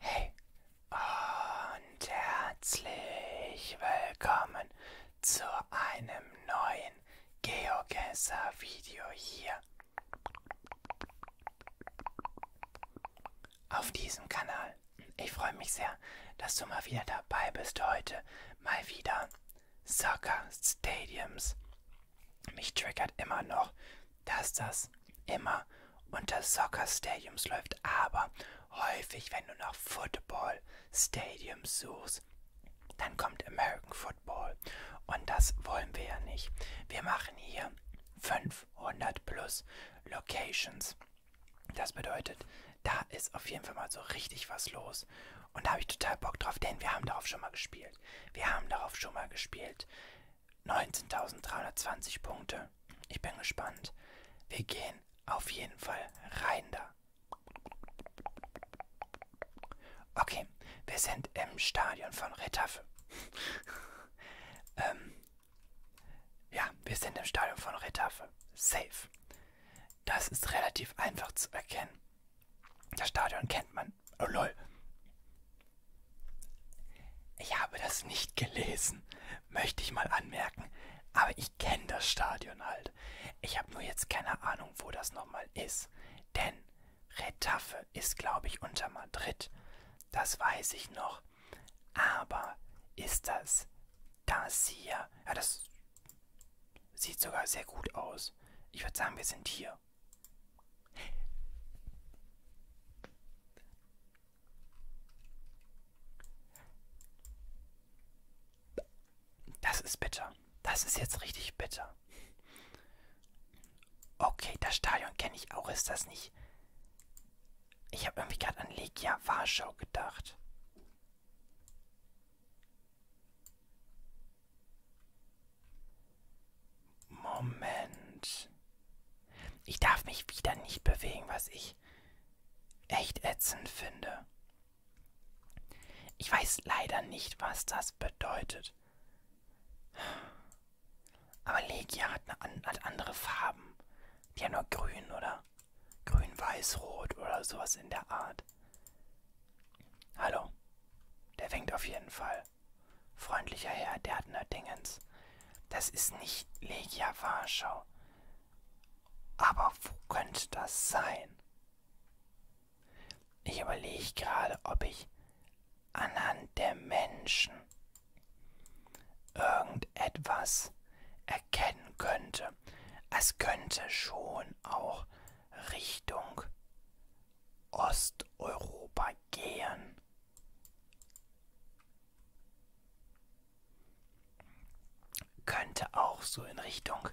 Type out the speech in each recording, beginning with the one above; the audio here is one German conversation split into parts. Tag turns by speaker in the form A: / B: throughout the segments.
A: Hey und herzlich willkommen zu einem neuen GeoGuessr Video hier auf diesem Kanal. Ich freue mich sehr, dass du mal wieder dabei bist heute. Mal wieder Soccer Stadiums. Mich triggert immer noch, dass das immer unter Soccer Stadiums läuft, aber häufig, wenn du nach Football Stadiums suchst, dann kommt American Football. Und das wollen wir ja nicht. Wir machen hier 500 plus Locations. Das bedeutet, da ist auf jeden Fall mal so richtig was los. Und da habe ich total Bock drauf, denn wir haben darauf schon mal gespielt gespielt. Wir haben darauf schon mal gespielt. 19.320 Punkte. Ich bin gespannt. Wir gehen auf jeden Fall rein da. Okay, wir sind im Stadion von Retafe. ähm, ja, wir sind im Stadion von Retafe. Safe. Das ist relativ einfach zu erkennen. Das Stadion kennt man. Oh lol. Ich habe das nicht gelesen, möchte ich mal anmerken. Aber ich kenne das Stadion halt. Ich habe nur jetzt keine Ahnung, wo das nochmal ist. Denn Retafe ist, glaube ich, unter Madrid. Das weiß ich noch. Aber ist das das hier? Ja, das sieht sogar sehr gut aus. Ich würde sagen, wir sind hier. Das ist bitter. Das ist jetzt richtig bitter. Okay, das Stadion kenne ich auch. Ist das nicht... Ich habe irgendwie gerade an Legia Warschau gedacht. Moment. Ich darf mich wieder nicht bewegen, was ich echt ätzend finde. Ich weiß leider nicht, was das bedeutet. Aber Legia hat, eine, hat andere Farben. Die haben nur grün oder grün-weiß-rot oder sowas in der Art. Hallo. Der winkt auf jeden Fall. Freundlicher Herr, der hat nur Dingens. Das ist nicht Legia Warschau. Aber wo könnte das sein? Ich überlege gerade, ob ich anhand der Menschen irgendetwas erkennen könnte. Es könnte schon auch Richtung Osteuropa gehen. Könnte auch so in Richtung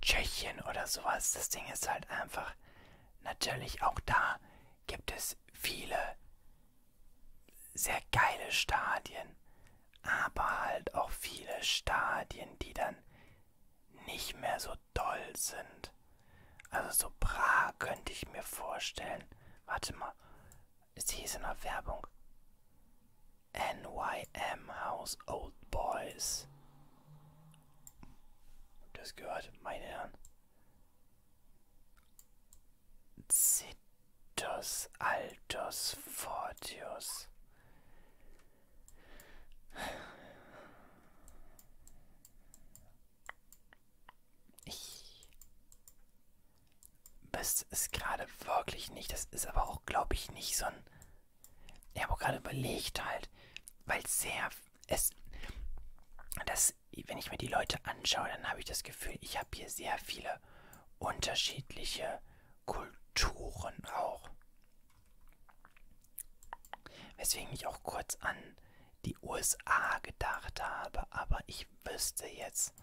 A: Tschechien oder sowas. Das Ding ist halt einfach, natürlich auch da gibt es viele sehr geile Stadien, aber halt auch viele Stadien, die dann nicht mehr so doll sind. Also so bra könnte ich mir vorstellen. Warte mal, es hieß in der Werbung NYM House Old Boys. Das gehört, meine Herren. Citus Altus Fortius. Ich wüsste es gerade wirklich nicht. Das ist aber auch, glaube ich, nicht so ein. Ich habe auch gerade überlegt halt, weil sehr. Es. Das, wenn ich mir die Leute anschaue, dann habe ich das Gefühl, ich habe hier sehr viele unterschiedliche Kulturen auch. Weswegen ich auch kurz an die USA gedacht habe, aber ich wüsste jetzt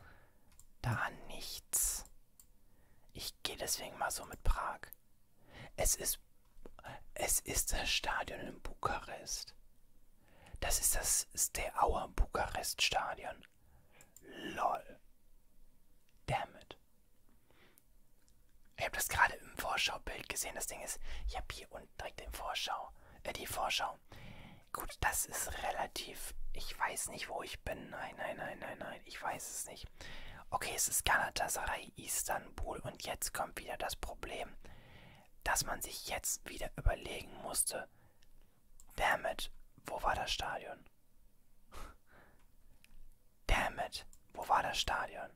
A: da nichts. Ich gehe deswegen mal so mit Prag. Es ist, es ist das Stadion in Bukarest. Das ist das Steaua Bukarest Stadion. LOL. Damn it. Ich habe das gerade im Vorschaubild gesehen. Das Ding ist, ich habe hier unten direkt den Vorschau, äh, die Vorschau. Gut, das ist relativ. Ich weiß nicht, wo ich bin. Nein, nein, nein, nein, nein. Ich weiß es nicht. Okay, es ist Galatasaray, Istanbul. Und jetzt kommt wieder das Problem, dass man sich jetzt wieder überlegen musste. Damit, wo war das Stadion? Damn it, wo war das Stadion?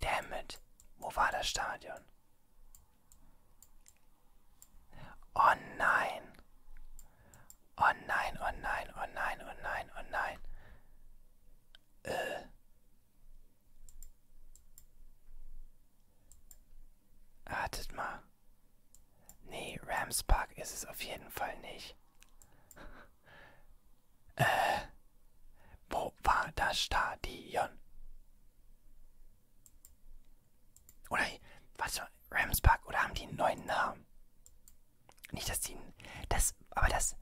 A: Damn it, wo war das Stadion? Oh nein. Oh nein, oh nein, oh nein, oh nein, oh nein. Äh. Wartet mal. Nee, Rams Park ist es auf jeden Fall nicht äh, wo war das Stadion? Oder was Rams Park oder haben die einen neuen Namen? Nicht, dass die das aber das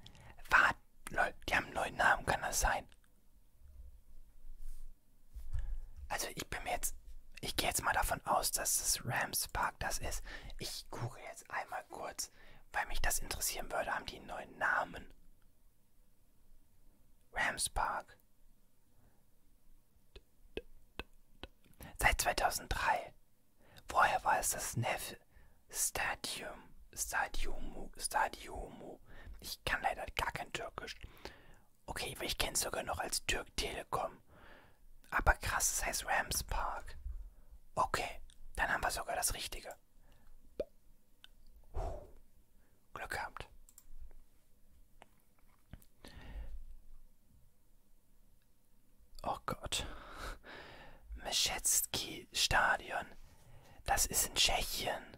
A: war lol, die haben einen neuen Namen, kann das sein? Also ich bin mir jetzt ich gehe jetzt mal davon aus, dass das Rams Vergnügungspark das ist. Ich google jetzt einmal kurz, weil mich das interessieren würde. Haben die einen neuen Namen? Rams Park. Seit 2003. Vorher war es das Neff Stadium. Stadiumu. Stadiumu. Ich kann leider gar kein Türkisch. Okay, ich kenne es sogar noch als Türk Telekom kommen. Aber krass, es das heißt Rams Park. Okay, dann haben wir sogar das Richtige. Uh, Glück gehabt. Oh Gott. Meschetski Stadion. Das ist in Tschechien.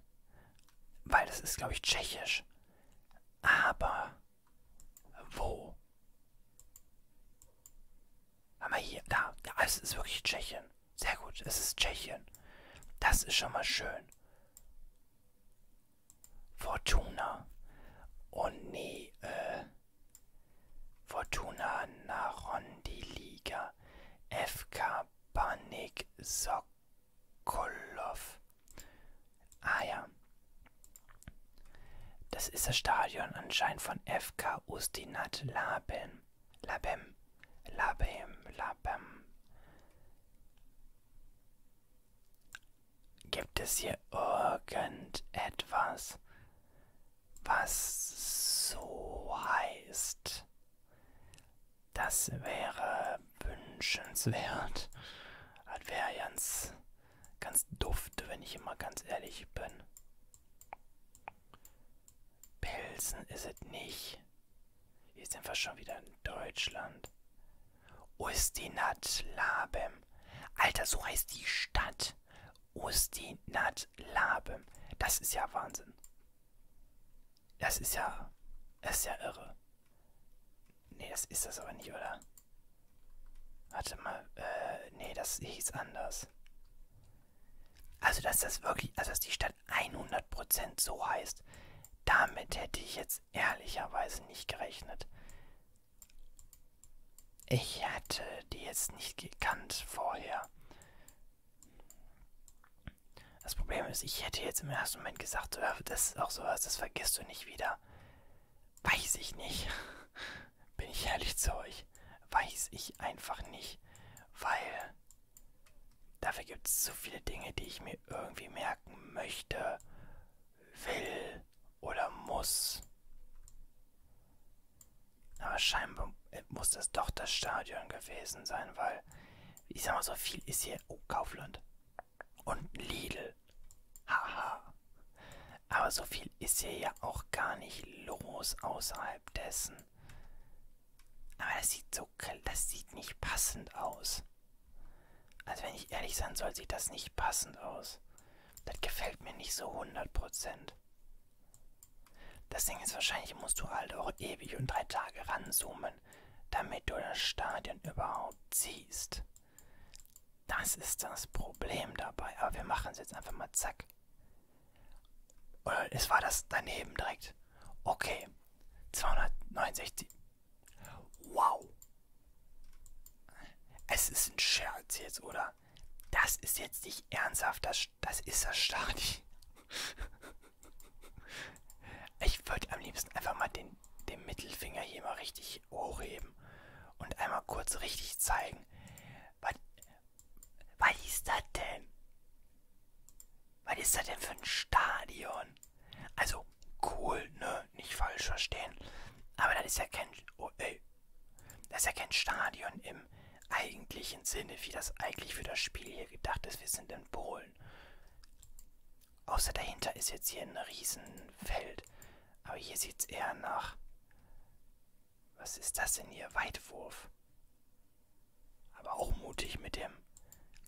A: Weil das ist, glaube ich, tschechisch. Aber wo? Haben wir hier, da, ja, es ist wirklich Tschechien. Sehr gut, es ist Tschechien. Das ist schon mal schön. Fortuna. Oh nee, äh. Fortuna Narondi Liga. FK Panik Sokolov. Ah ja. Das ist das Stadion anscheinend von FK Ustinat Labem. Labem. Labem. Labem. Gibt es hier irgendetwas, was so heißt? Das wäre wünschenswert. Das wäre ganz Ganz duft, wenn ich immer ganz ehrlich bin. Pelzen ist es nicht. Hier sind wir schon wieder in Deutschland. Ustinat Labem. Alter, so heißt die Stadt. Ustinat Labem. Das ist ja Wahnsinn. Das ist ja. Das ist ja irre. Nee, das ist das aber nicht, oder? Warte mal, äh, nee, das hieß anders. Also, dass das wirklich, also dass die Stadt 100% so heißt, damit hätte ich jetzt ehrlicherweise nicht gerechnet. Ich hätte die jetzt nicht gekannt vorher. Das Problem ist, ich hätte jetzt im ersten Moment gesagt, das ist auch sowas, das vergisst du nicht wieder. Weiß ich nicht. Bin ich ehrlich zu euch. Weiß ich einfach nicht. Weil dafür gibt es so viele Dinge, die ich mir irgendwie merken möchte, will oder muss. Aber scheinbar äh, muss das doch das Stadion gewesen sein, weil ich sag mal, so viel ist hier. Oh, Kaufland und Lidl. Haha. Aber so viel ist hier ja auch gar nicht los außerhalb dessen. Aber das sieht so, das sieht nicht passend aus. Also wenn ich ehrlich sein soll, sieht das nicht passend aus. Das gefällt mir nicht so 100%. Das Ding ist wahrscheinlich, musst du halt auch ewig und drei Tage ranzoomen, damit du das Stadion überhaupt siehst. Das ist das Problem dabei. Aber wir machen es jetzt einfach mal zack. Oder es war das daneben direkt. Okay. 269. Wow. Es ist ein Scherz jetzt, oder? Das ist jetzt nicht ernsthaft. Das, das ist das Stadion. Ich würde am liebsten einfach mal den den Mittelfinger hier mal richtig hochheben und einmal kurz richtig zeigen. Was, was ist das denn? Was ist das denn für ein Stadion? Also cool, ne? Nicht falsch verstehen. Aber das ist ja kein. Oh, ey. Das ist ja kein Stadion im eigentlichen Sinne, wie das eigentlich für das Spiel hier gedacht ist. Wir sind in Polen. Außer dahinter ist jetzt hier ein Riesenfeld. Aber hier sieht es eher nach. Was ist das denn hier? Weitwurf. Aber auch mutig mit dem.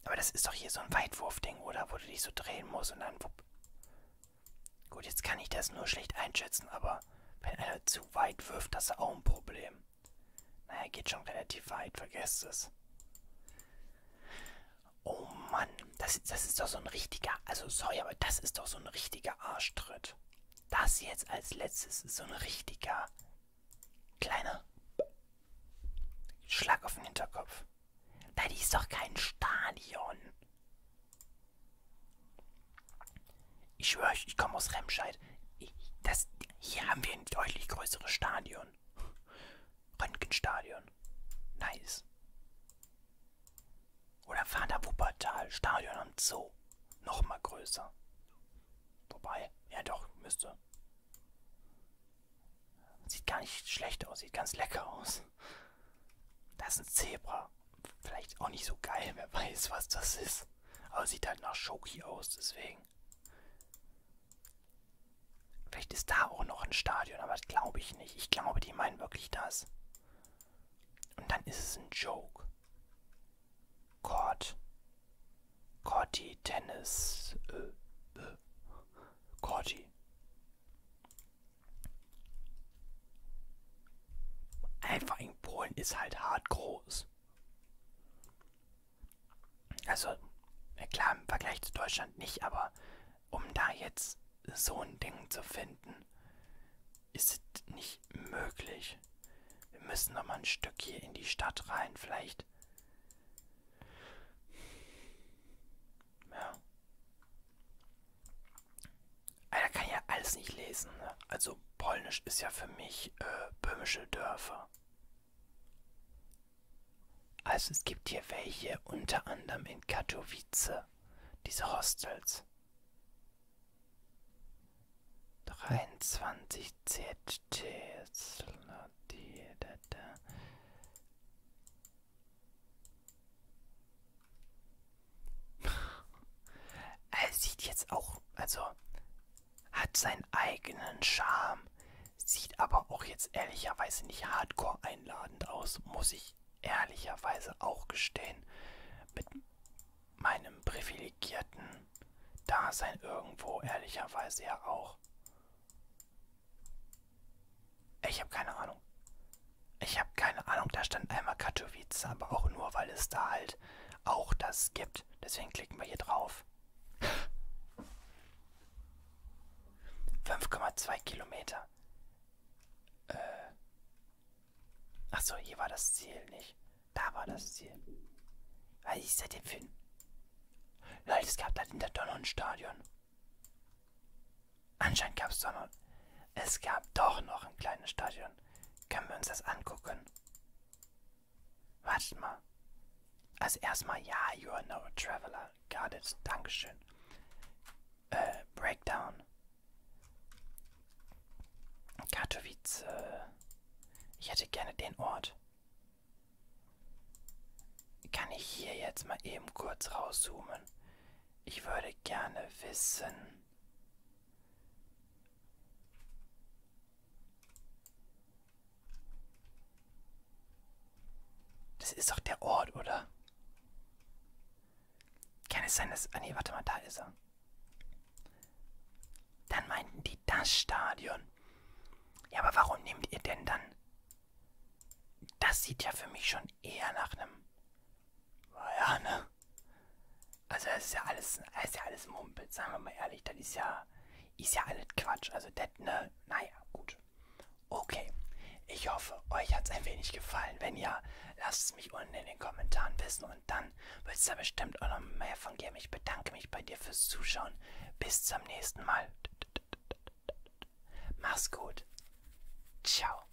A: Aber das ist doch hier so ein Weitwurf-Ding, oder? Wo du dich so drehen musst und dann wupp. Gut, jetzt kann ich das nur schlecht einschätzen, aber wenn einer zu weit wirft, das ist auch ein Problem. Naja, geht schon relativ weit, vergesst es. Oh Mann, das, das ist doch so ein richtiger, also sorry, aber das ist doch so ein richtiger Arschtritt. Das jetzt als letztes ist so ein richtiger kleiner Schlag auf den Hinterkopf. Nein, die ist doch kein Stadion. Ich schwöre euch, ich komme aus Remscheid. Ich, das, hier haben wir ein deutlich größeres Stadion. Röntgenstadion. Nice. Oder fahren da Wuppertal, Stadion am Zoo. Nochmal größer. Wobei, ja doch, müsste. Sieht gar nicht schlecht aus, sieht ganz lecker aus. Da ist ein Zebra. Vielleicht auch nicht so geil, wer weiß, was das ist. Aber sieht halt nach Schoki aus, deswegen. Vielleicht ist da auch noch ein Stadion, aber das glaube ich nicht. Ich glaube, die meinen wirklich das. Und dann ist es ein Joke. Court. Corti, Tennis. Äh, äh. Corti. Einfach in Polen ist halt hart groß. Also, ja klar, im Vergleich zu Deutschland nicht, aber um da jetzt so ein Ding zu finden, ist nicht möglich. Wir müssen noch mal ein Stück hier in die Stadt rein, vielleicht. Ja. Alter, kann ja alles nicht lesen. Ne? Also Polnisch ist ja für mich äh, böhmische Dörfer. Also es gibt hier welche, unter anderem in Katowice, diese Hostels. 23 ZT. Er sieht jetzt auch, also hat seinen eigenen Charme. Sieht aber auch jetzt ehrlicherweise nicht hardcore einladend aus, muss ich ehrlicherweise auch gestehen. Mit meinem privilegierten Dasein irgendwo, ehrlicherweise ja auch. Ich habe keine Ahnung. Ich habe keine Ahnung, da stand einmal Katowice, aber auch nur, weil es da halt auch das gibt. Deswegen klicken wir hier drauf. 5,2 Kilometer. Äh. Achso, hier war das Ziel nicht. Da war das Ziel. Was ist das denn für ein... Leute, es gab da hinter doch noch ein Stadion. Anscheinend gab es doch noch... Es gab doch noch ein kleines Stadion. Können wir uns das angucken? Wartet mal. Also erstmal, ja, you are no traveler got it. Dankeschön. Äh, Breakdown. Katowice. Ich hätte gerne den Ort. Kann ich hier jetzt mal eben kurz rauszoomen? Ich würde gerne wissen. Das ist doch der Ort, oder? Kann es sein, dass... Ah nee, warte mal, da ist er. Dann meinten die das Stadion. Ja, aber warum nehmt ihr denn dann... Das sieht ja für mich schon eher nach einem... Ja, ne? Also das ist ja alles, das ist ja alles Mumpel, sagen wir mal ehrlich. Das ist ja, ist ja alles Quatsch. Also das, ne? Naja, gut. Okay, ich hoffe, euch hat es ein wenig gefallen. Wenn ja, lasst es mich unten in den Kommentaren wissen und dann wird es da bestimmt auch noch mehr von geben. Ich bedanke mich bei dir fürs Zuschauen. Bis zum nächsten Mal. Mach's gut. Ciao.